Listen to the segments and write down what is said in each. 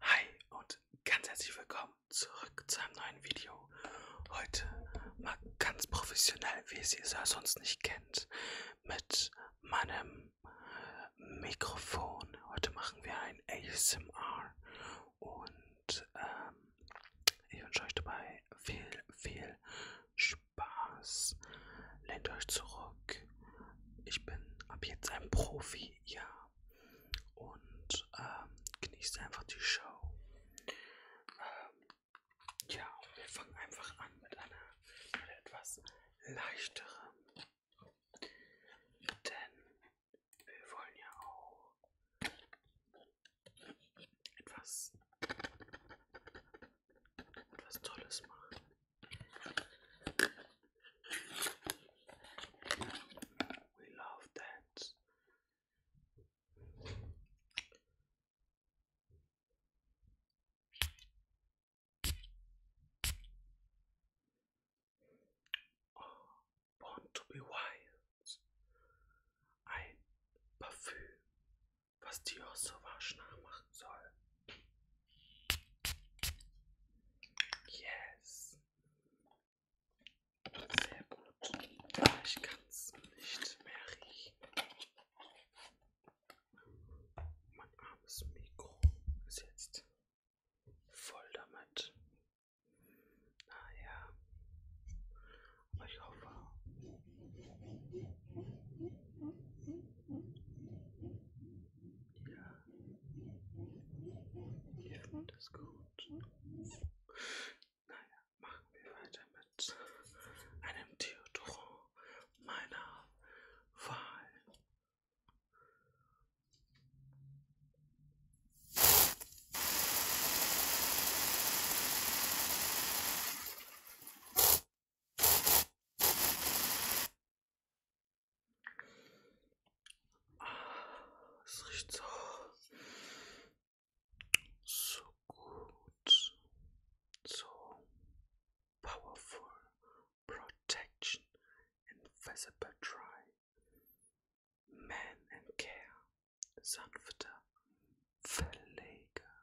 Hi und ganz herzlich willkommen zurück zu einem neuen Video. Heute mal ganz professionell, wie ihr es ja sonst nicht kennt, mit meinem Mikrofon. Heute machen wir ein ASMR und ähm, ich wünsche euch dabei viel, viel Spaß. Lehnt euch zurück ich bin ab jetzt ein Profi, ja. Und ähm, genieße einfach die Show. Ähm, ja, wir fangen einfach an mit einer mit etwas leichterem. Denn wir wollen ja auch etwas, etwas Tolles machen. We love dance. Oh, born to be wild. Ein Parfüm, was Dior so wahrscheinlich machen soll. Yes. Sehr gut. Ah, ich kann es nicht mehr riechen. Mein armes Mikro ist jetzt voll damit. Naja. Aber ich hoffe. Ja. Ja, und ist gut. Naja, machen wir weiter mit einem Theodoro meiner Wahl. Es riecht so, so gut, so powerful protection, invisible dry, man and care, sanfter Verleger,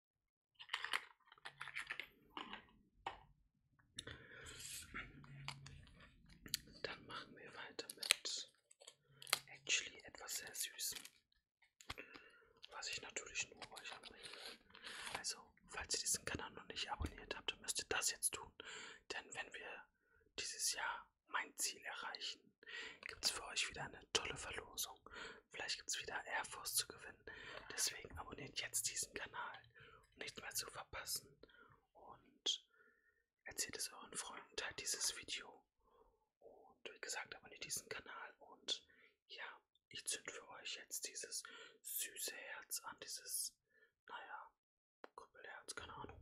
Dann machen wir weiter mit actually etwas sehr Süßem, was ich natürlich nur euch anbringen will. Also, falls ihr diesen Kanal noch nicht abonniert habt, dann müsst ihr das jetzt tun. Denn wenn wir dieses Jahr mein Ziel erreichen, gibt es für euch wieder eine tolle Verlosung. Vielleicht gibt es wieder Air Force zu gewinnen. Deswegen abonniert jetzt diesen Kanal, um nichts mehr zu verpassen. Und erzählt es euren Freunden, teilt dieses Video. Und wie gesagt, abonniert diesen Kanal. Und ja, ich zünd für euch jetzt dieses süße Herz an, dieses, naja, Kuppelherz, keine Ahnung.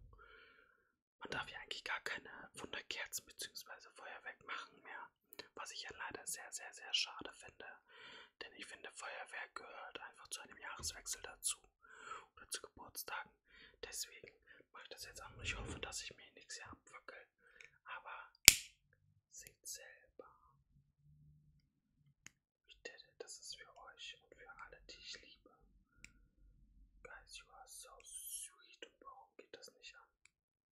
Man darf ja eigentlich gar keine Wunderkerzen bzw. Feuerwerk machen mehr. Was ich ja leider sehr, sehr, sehr schade finde. Denn ich finde, Feuerwerk gehört einfach zu einem Jahreswechsel dazu. Oder zu Geburtstagen. Deswegen mache ich das jetzt auch. Ich hoffe, dass ich mir nichts hier abwackel. Aber seht selber. Das ist für euch und für alle, die ich liebe. Guys, you are so sweet. Und warum geht das nicht an?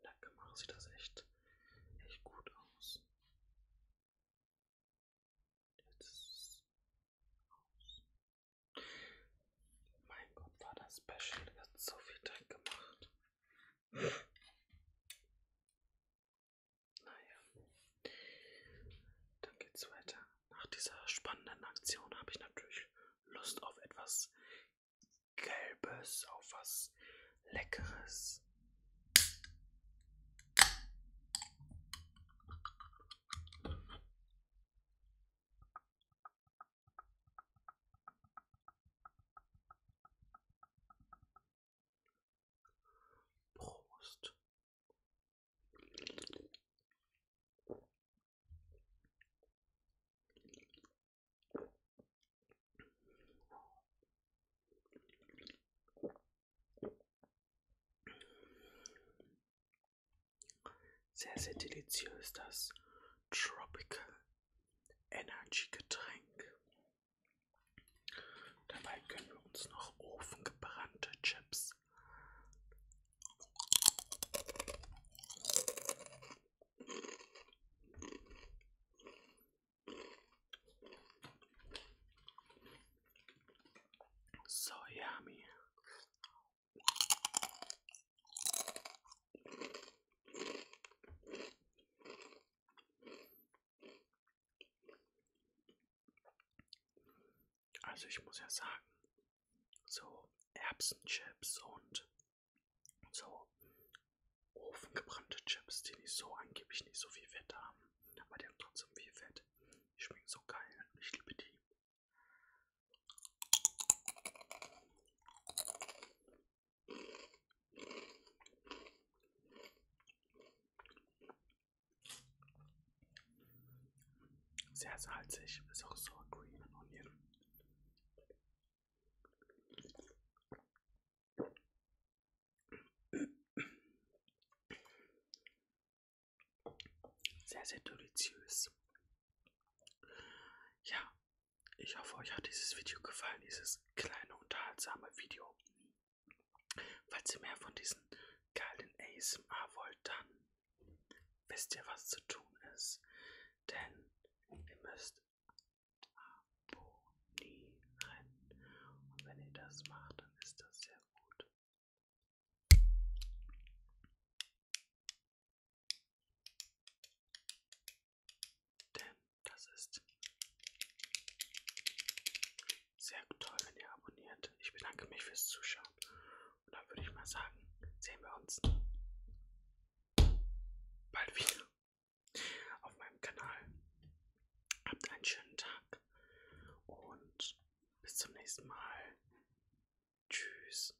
Danke, machen Sie das echt, echt gut aus. Jetzt aus. Mein Gott, war das Special jetzt so viel Dreck gemacht. Naja. Dann geht's weiter. Nach dieser spannenden Aktion habe ich natürlich Lust auf etwas Gelbes, auf was Leckeres. Prost. Sehr, sehr deliziös das Tropical Energy-Getränk. Dabei können wir uns noch ofengebrannte Chips so yummy. Also ich muss ja sagen, so Erbsenchips und so ofengebrannte Chips, die nicht so angeblich nicht so viel Fett haben, aber die haben trotzdem viel Fett. Die schmecken so geil. Ich liebe die. Sehr salzig, ist auch Sour Cream und Onion. Sehr, sehr deliziös. Ja, ich hoffe, euch hat dieses Video gefallen, dieses kleine unterhaltsame Video. Falls ihr mehr von diesen geilen ASMR wollt, dann wisst ihr, was zu tun ist. Denn ihr müsst abonnieren. Und wenn ihr das macht, dann ist das sehr gut. Denn das ist sehr toll, wenn ihr abonniert. Ich bedanke mich fürs Zuschauen. Und dann würde ich mal sagen, sehen wir uns bald wieder auf meinem Kanal. Habt einen schönen Tag und bis zum nächsten Mal. Tschüss.